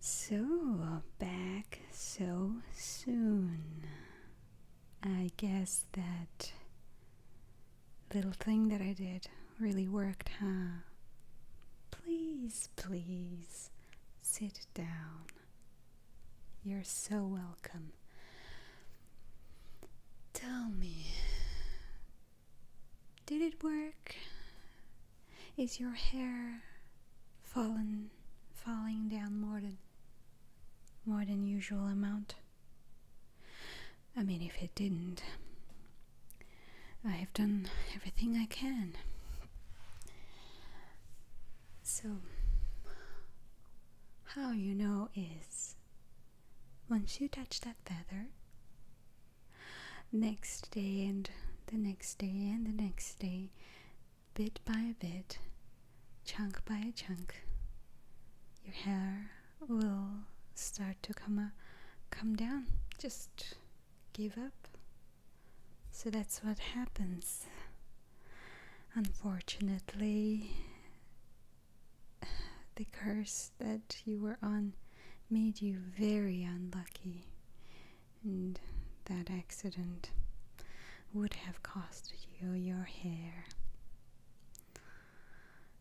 So, back so soon. I guess that little thing that I did really worked, huh? Please, please sit down. You're so welcome. Tell me, did it work? Is your hair fallen falling down more than more than usual amount? I mean if it didn't I have done everything I can. So how you know is once you touch that feather Next day, and the next day, and the next day, bit by bit, chunk by chunk, your hair will start to come, come down. Just give up. So that's what happens. Unfortunately, the curse that you were on made you very unlucky, and that accident would have cost you your hair.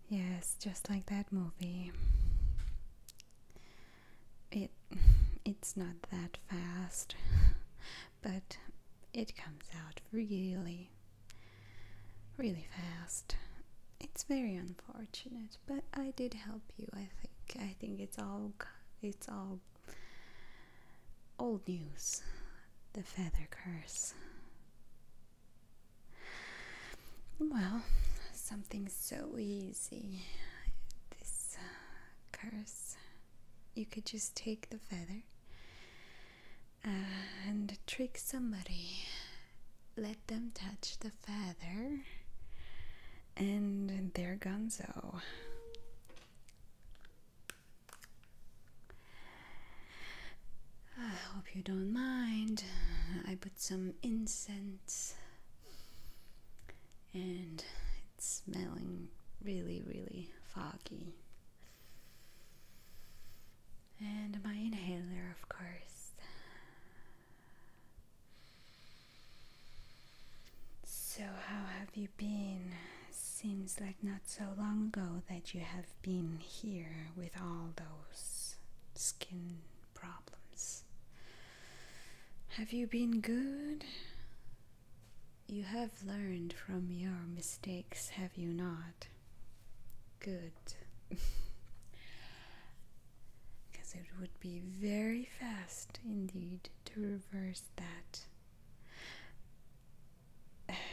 Yes, just like that movie. It it's not that fast, but it comes out really really fast it's very unfortunate, but I did help you. I think I think it's all it's all old news. The feather curse. Well, something so easy. This uh, curse. You could just take the feather and trick somebody. Let them touch the feather and there Gonzo. I hope you don't mind. I put some incense and it's smelling really, really foggy. And my inhaler, of course. So, how have you been? Seems like not so long ago that you have been here with all those skin problems. Have you been good? You have learned from your mistakes, have you not? Good. because it would be very fast indeed to reverse that.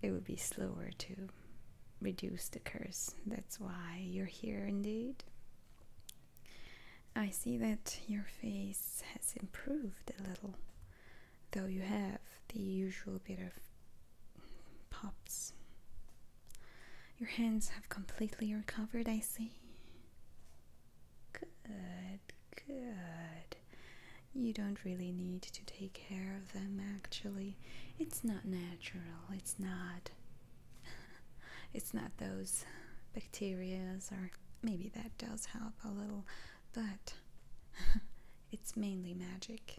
It would be slower to reduce the curse. That's why you're here indeed. I see that your face has improved a little, though you have the usual bit of pops your hands have completely recovered, I see. Good, good. You don't really need to take care of them, actually. It's not natural, it's not. it's not those bacterias, or maybe that does help a little, but it's mainly magic.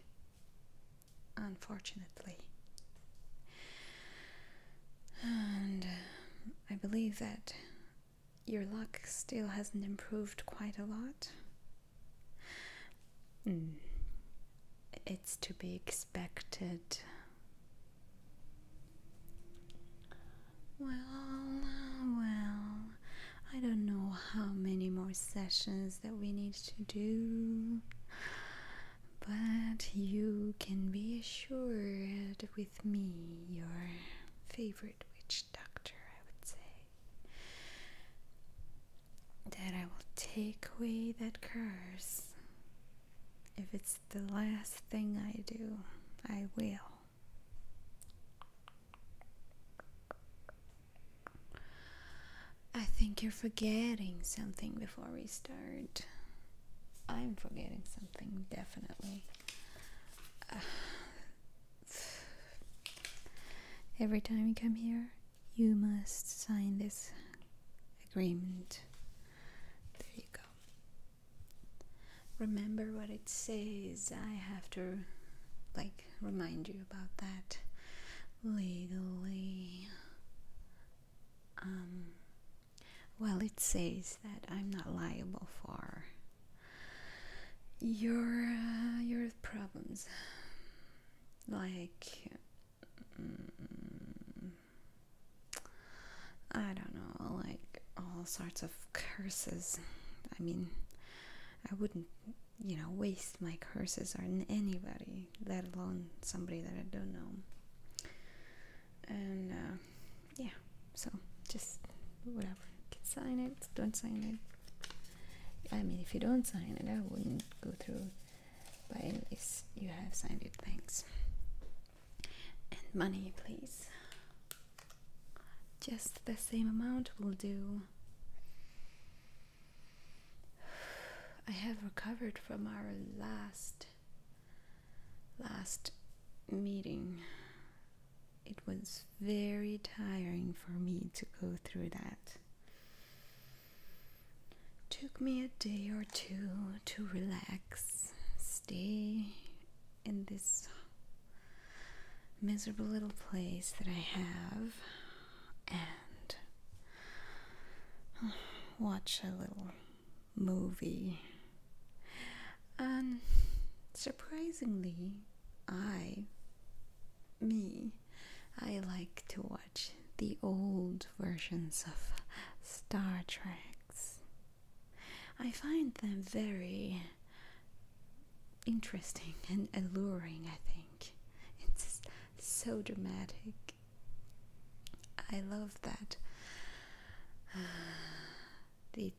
Unfortunately. And um, I believe that your luck still hasn't improved quite a lot. Hmm. It's to be expected. Well, uh, well, I don't know how many more sessions that we need to do. But you can be assured with me, your favorite witch doctor, I would say, that I will take away that curse. If it's the last thing I do, I will. I think you're forgetting something before we start. I'm forgetting something definitely. every time you come here, you must sign this agreement. There you go. Remember what it says. I have to like remind you about that legally. Um well, it says that I'm not liable for your uh, your problems, like mm, I don't know, like all sorts of curses. I mean, I wouldn't, you know, waste my curses on anybody, let alone somebody that I don't know and uh, yeah so just whatever you can sign it don't sign it i mean if you don't sign it i wouldn't go through but at least you have signed it thanks and money please just the same amount will do i have recovered from our last last meeting, it was very tiring for me to go through that. Took me a day or two to relax, stay in this miserable little place that I have, and watch a little movie. And um, surprisingly, I, me, I like to watch the old versions of Star Treks. I find them very interesting and alluring, I think. It's so dramatic I love that the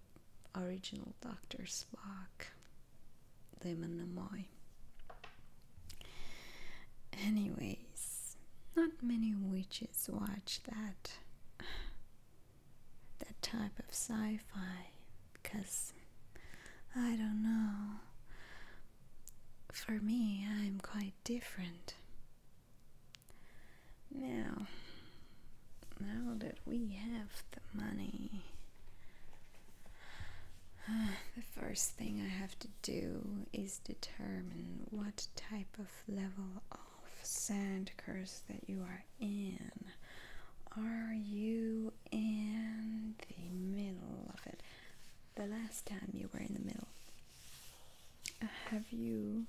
original Doctor Spock, Damon Amoy. Anyways, not many witches watch that that type of sci-fi because I don't know. For me, I'm quite different. Now, now that we have the money, the first thing I have to do is determine what type of level of sand curse that you are in. Are you in the middle of it? The last time you were in the middle, have you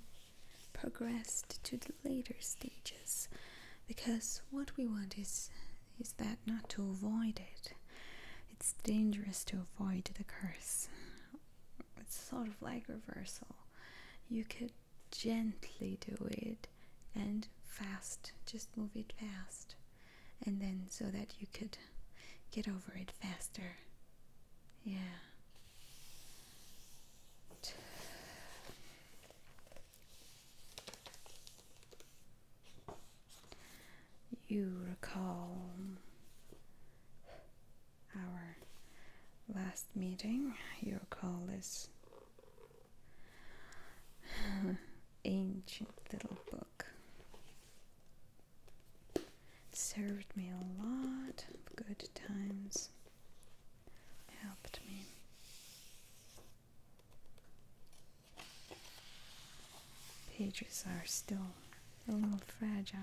progressed to the later stages? Because what we want is is that not to avoid it. It's dangerous to avoid the curse. It's sort of like reversal. You could gently do it and fast, just move it fast, and then so that you could get over it faster. Yeah. You recall our last meeting, you recall this ancient little book served me a lot of good times, helped me. Pages are still a little fragile.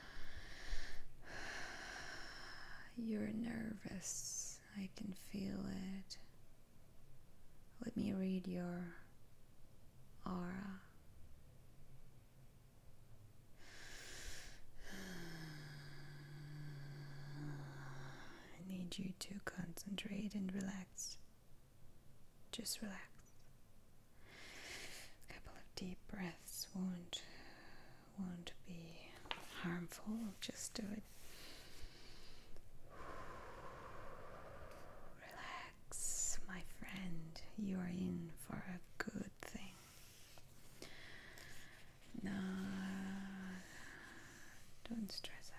You're nervous. I can feel it. Let me read your aura. I need you to concentrate and relax. Just relax. A couple of deep breaths won't won't be harmful. Just do it. Relax, my friend. You are in for a good thing. No, don't stress out.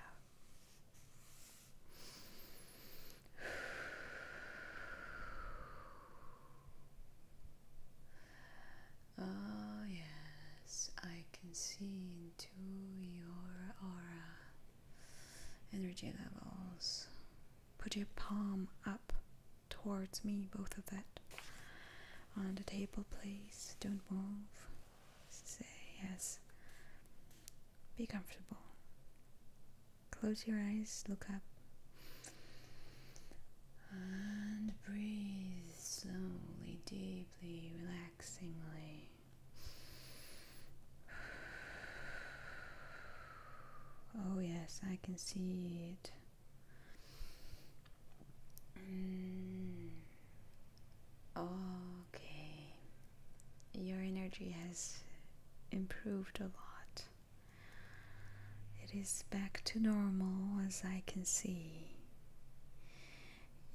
Oh, yes, I can see into your aura. Energy levels. Put your palm up towards me, both of that. On the table, please. Don't move. Say yes. Be comfortable. Close your eyes, look up. And breathe slowly, deeply, relaxingly. Oh, yes, I can see it. Mm. Okay, your energy has improved a lot. It is back to normal as I can see.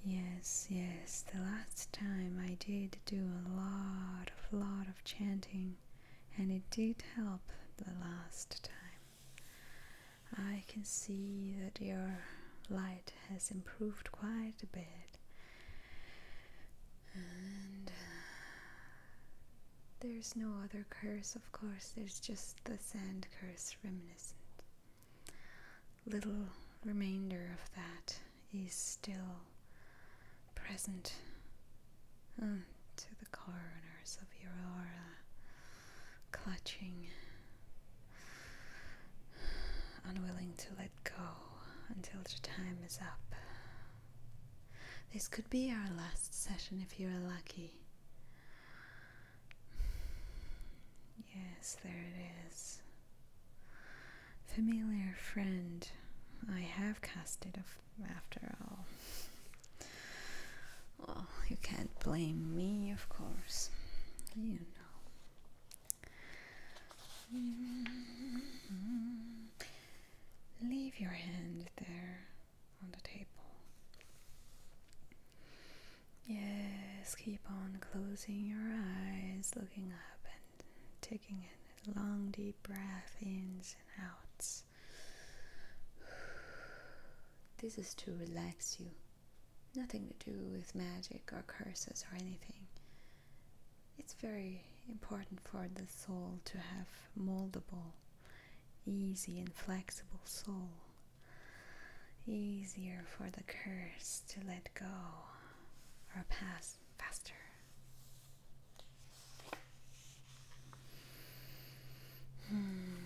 Yes, yes, the last time I did do a lot of lot of chanting and it did help the last time. I can see that your light has improved quite a bit. And uh, there's no other curse, of course, there's just the sand curse remnant. Little remainder of that is still present uh, to the corners of your aura, clutching, unwilling to let go until the time is up. This could be our last session if you're lucky. Yes, there it is. Familiar friend, I have cast it after all. Well, you can't blame me, of course. You know. Mm-hmm. Leave your hand there on the table. Yes, keep on closing your eyes, looking up and taking a long deep breath ins and outs. This is to relax you. Nothing to do with magic or curses or anything. It's very important for the soul to have moldable, easy, and flexible soul easier for the curse to let go or pass faster. Hmm.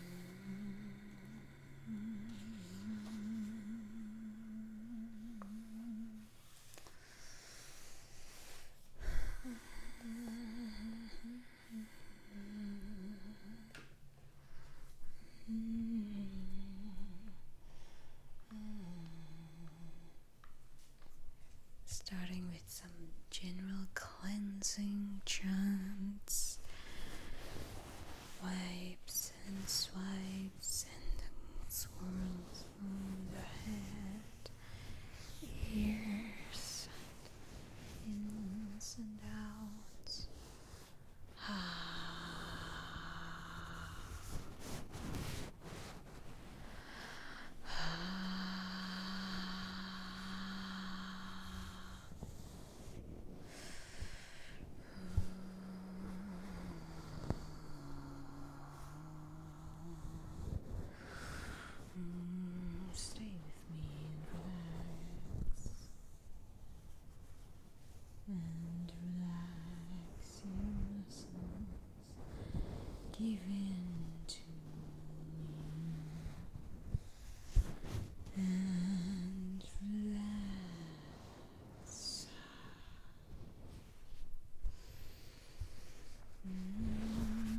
Mm. Starting with some general cleansing chants, wipes and swipes and swirls on the head, ears, and ins and outs. Hmm, stay with me and relax and relax your muscles. Give in to me and relax. Mm.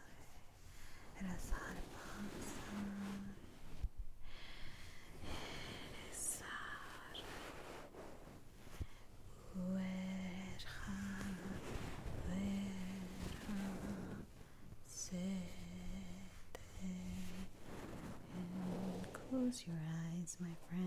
rilassare panza rilassare ويرحم ويرحم and close your eyes my friend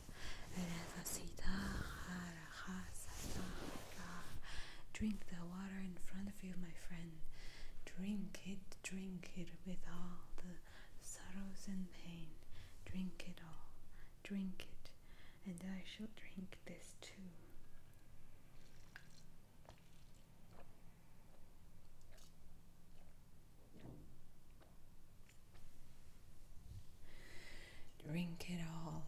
Drink the water in front of you, my friend. Drink it, drink it with all the sorrows and pain. Drink it all, drink it, and I shall drink this too. Drink it all.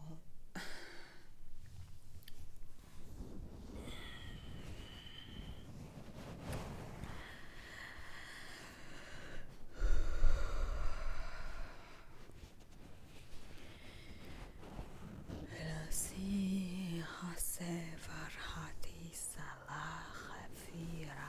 Lasi Hasevar Hati Salah Hafira.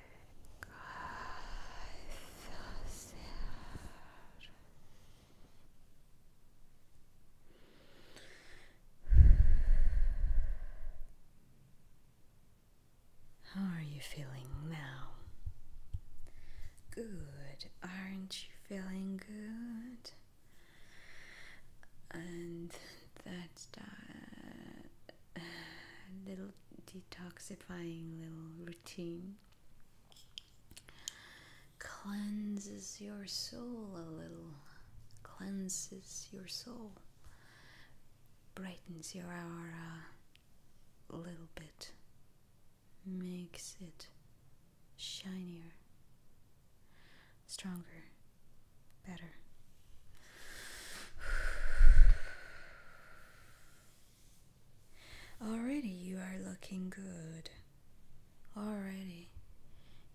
How are you feeling now? Good. Aren't you feeling good? And that uh, little detoxifying little routine cleanses your soul a little, cleanses your soul, brightens your aura a little bit, makes it shinier, stronger, better. Already you are looking good. Already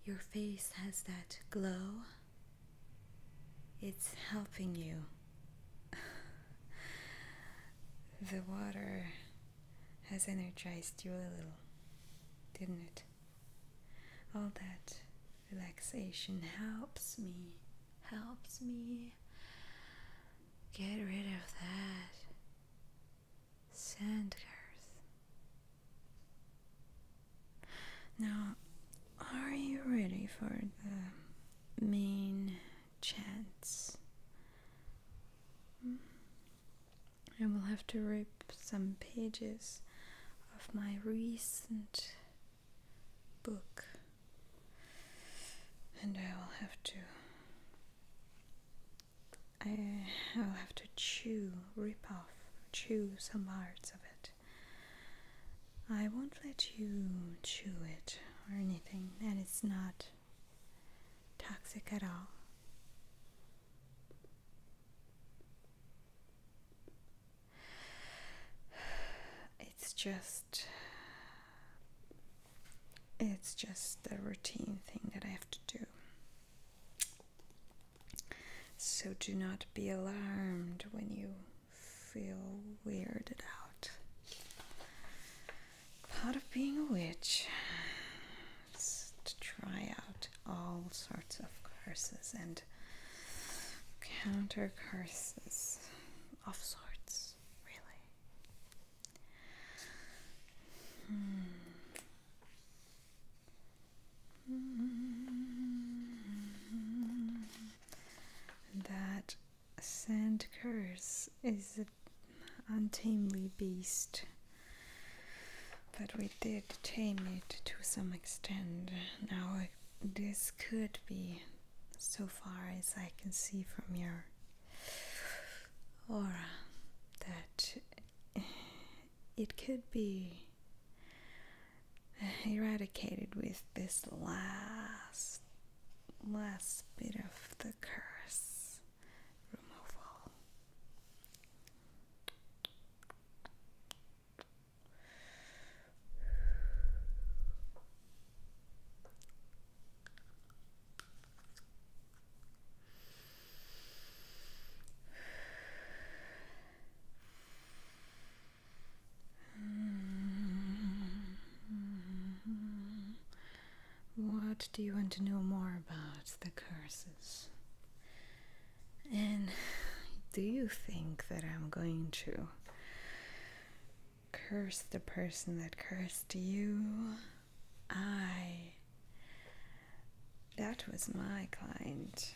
your face has that glow. It's helping you. the water has energized you a little, didn't it? All that relaxation helps me, helps me Get rid of that sand curse. Now, are you ready for the main chants? Hmm. I will have to rip some pages of my recent book and I will have to I will have to chew, rip off, chew some parts of it. I won't let you chew it or anything, and it's not toxic at all. It's just it's just a routine thing that I have to do. So do not be alarmed when you feel weirded out. Part of being a witch is to try out all sorts of curses and counter curses of sorts, really. Hmm. That sand curse is an untamely beast, but we did tame it to some extent. Now, this could be so far as I can see from your aura that it could be eradicated with this last last bit of the curse removal. What do you want to know more about the curses? And do you think that I'm going to curse the person that cursed you. I. That was my client.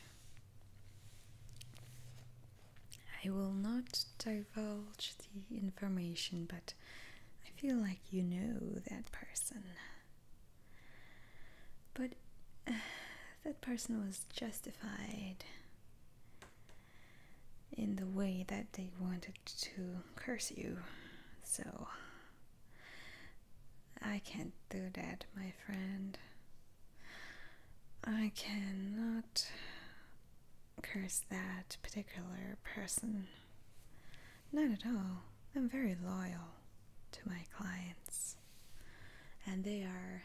I will not divulge the information, but I feel like you know that person. But that person was justified in the way that they wanted to curse you. So I can't do that, my friend. I cannot curse that particular person. Not at all. I'm very loyal to my clients. And they are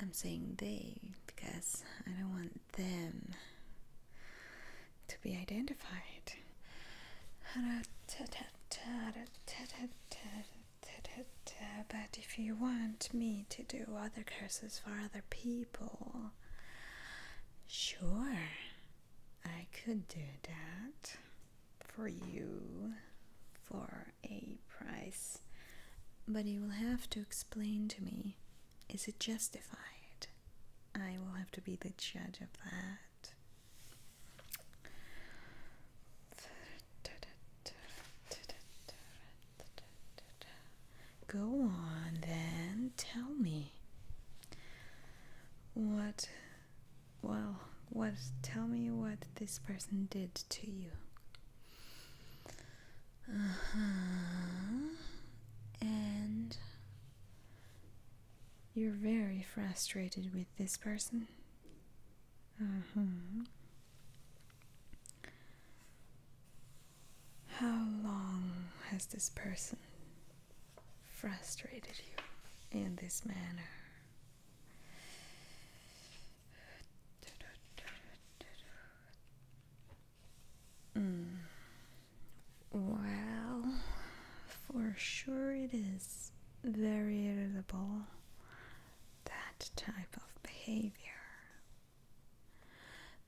I'm saying they because I don't want them to be identified. But if you want me to do other curses for other people, sure, I could do that for you for a price. But you will have to explain to me is it justified? I will have to be the judge of that. Go on then, tell me. What, well, what, tell me what this person did to you. Uh huh. And you're very frustrated with this person. Uh huh. How long has this person frustrated you in this manner? Mm. Well, for sure it is very irritable, that type of behavior.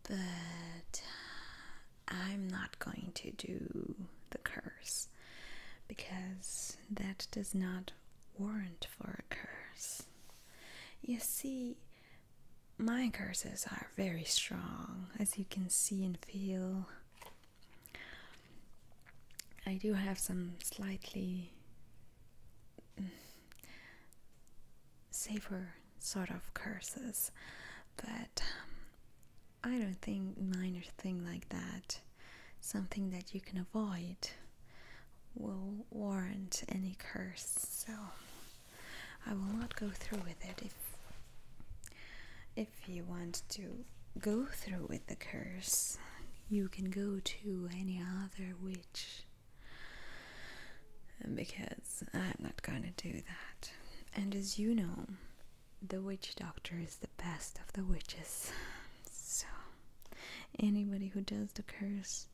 But I'm not going to do the curse because that does not warrant for a curse. You see, my curses are very strong, as you can see and feel. I do have some slightly mm, safer sort of curses, but um, I don't think minor thing like that, something that you can avoid, will warrant any curse. So I will not go through with it if if you want to go through with the curse, you can go to any other witch. Because I'm not gonna do that. And as you know, the witch doctor is the best of the witches. So, anybody who does the curse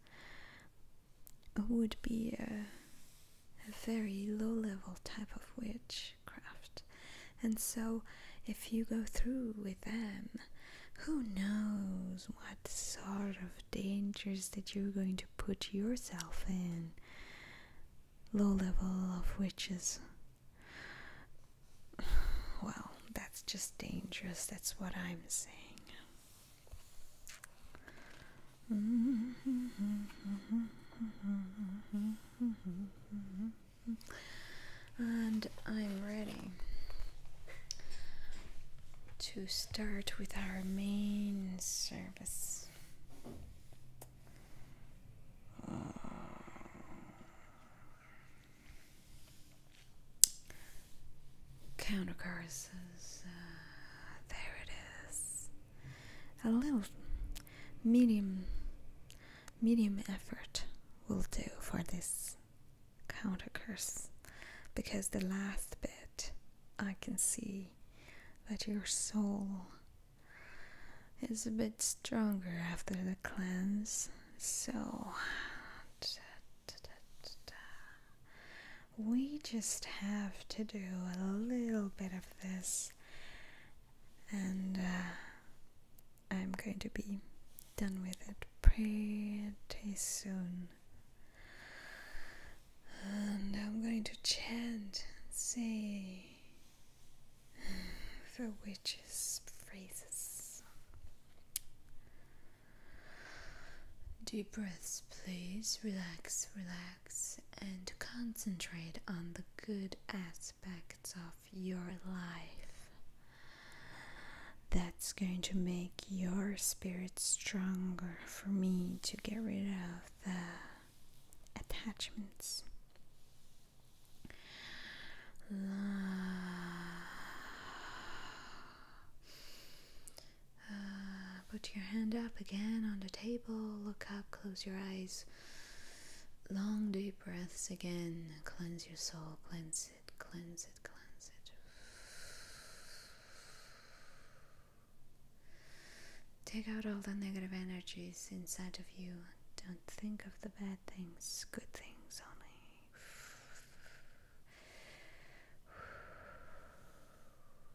would be a, very low level type of witchcraft. And so, if you go through with them, who knows what sort of dangers that you're going to put yourself in? Low level of witches. Well, that's just dangerous, that's what I'm saying. And I'm ready to start with our main service countercurses. Uh, there it is. A little medium medium effort will do for this counter curse because the last bit I can see that your soul is a bit stronger after the cleanse so we just have to do a little bit of this, and uh, I'm going to be done with it pretty soon. And I'm going to chant, say the witch's phrases. Deep breaths, please. Relax, relax and concentrate on the good aspects of your life. That's going to make your spirit stronger for me to get rid of the attachments. Uh, put your hand up again on the table. Look up, close your eyes. Long deep breaths again. Cleanse your soul. Cleanse it, cleanse it, cleanse it. Take out all the negative energies inside of you. Don't think of the bad things, good things only.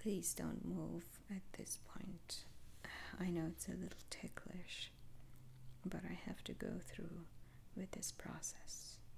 please don't move at this point. I know it's a little ticklish, but I have to go through with this process.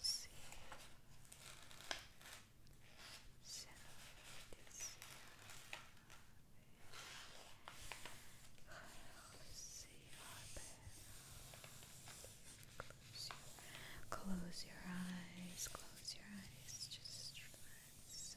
see so this Close your eyes, close your eyes, just relax.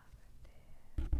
the better.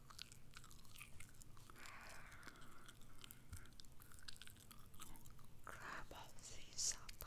Grab all these up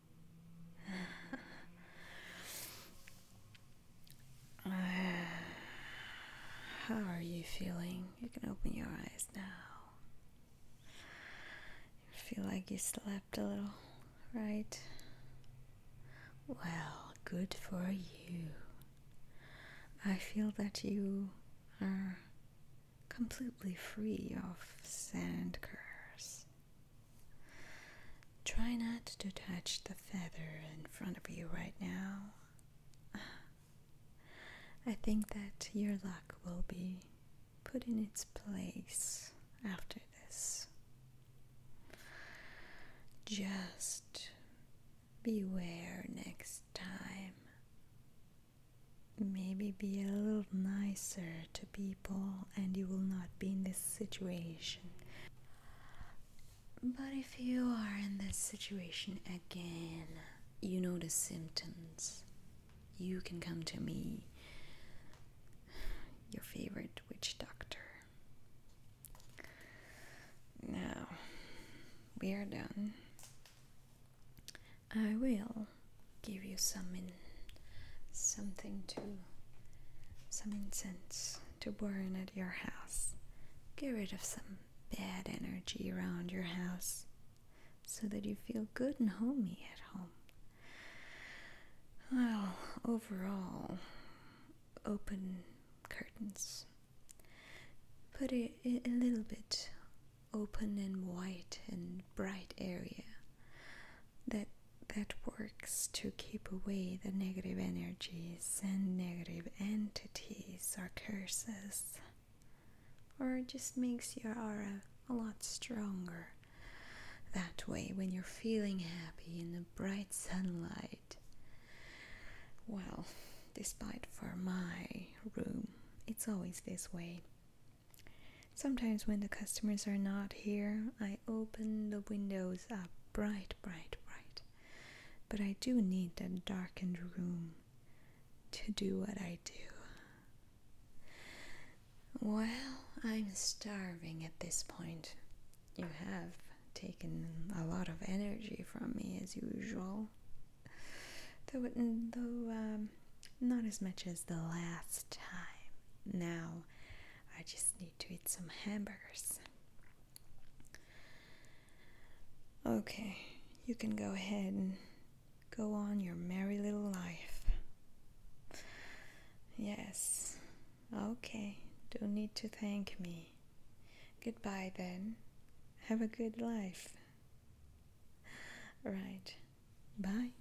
how are you feeling? You can open your eyes now. feel like you slept a little, right? Well, good for you. I feel that you are completely free of sand curse. Try not to touch the feather in front of you right now. I think that your luck will be put in its place after this. Just beware next time. Maybe be a little nicer to people, and you will not be in this situation. But if you are in this situation again, you know the symptoms. You can come to me, your favorite witch doctor. Now, we are done. I will give you some in something to some incense to burn at your house. Get rid of some bad energy around your house so that you feel good and homey at home. Well, overall, open curtains. Put it a little bit open and white and bright area that that works to keep away the negative energies and negative entities or curses or just makes your aura a lot stronger that way when you're feeling happy in the bright sunlight well despite for my room it's always this way Sometimes when the customers are not here, I open the windows up bright, bright, bright. But I do need a darkened room to do what I do. Well, I'm starving at this point. You have taken a lot of energy from me as usual. Though, though um, not as much as the last time. Now I just need to eat some hamburgers. Okay, you can go ahead and go on your merry little life. Yes, okay, don't need to thank me. Goodbye then. Have a good life. Right, bye.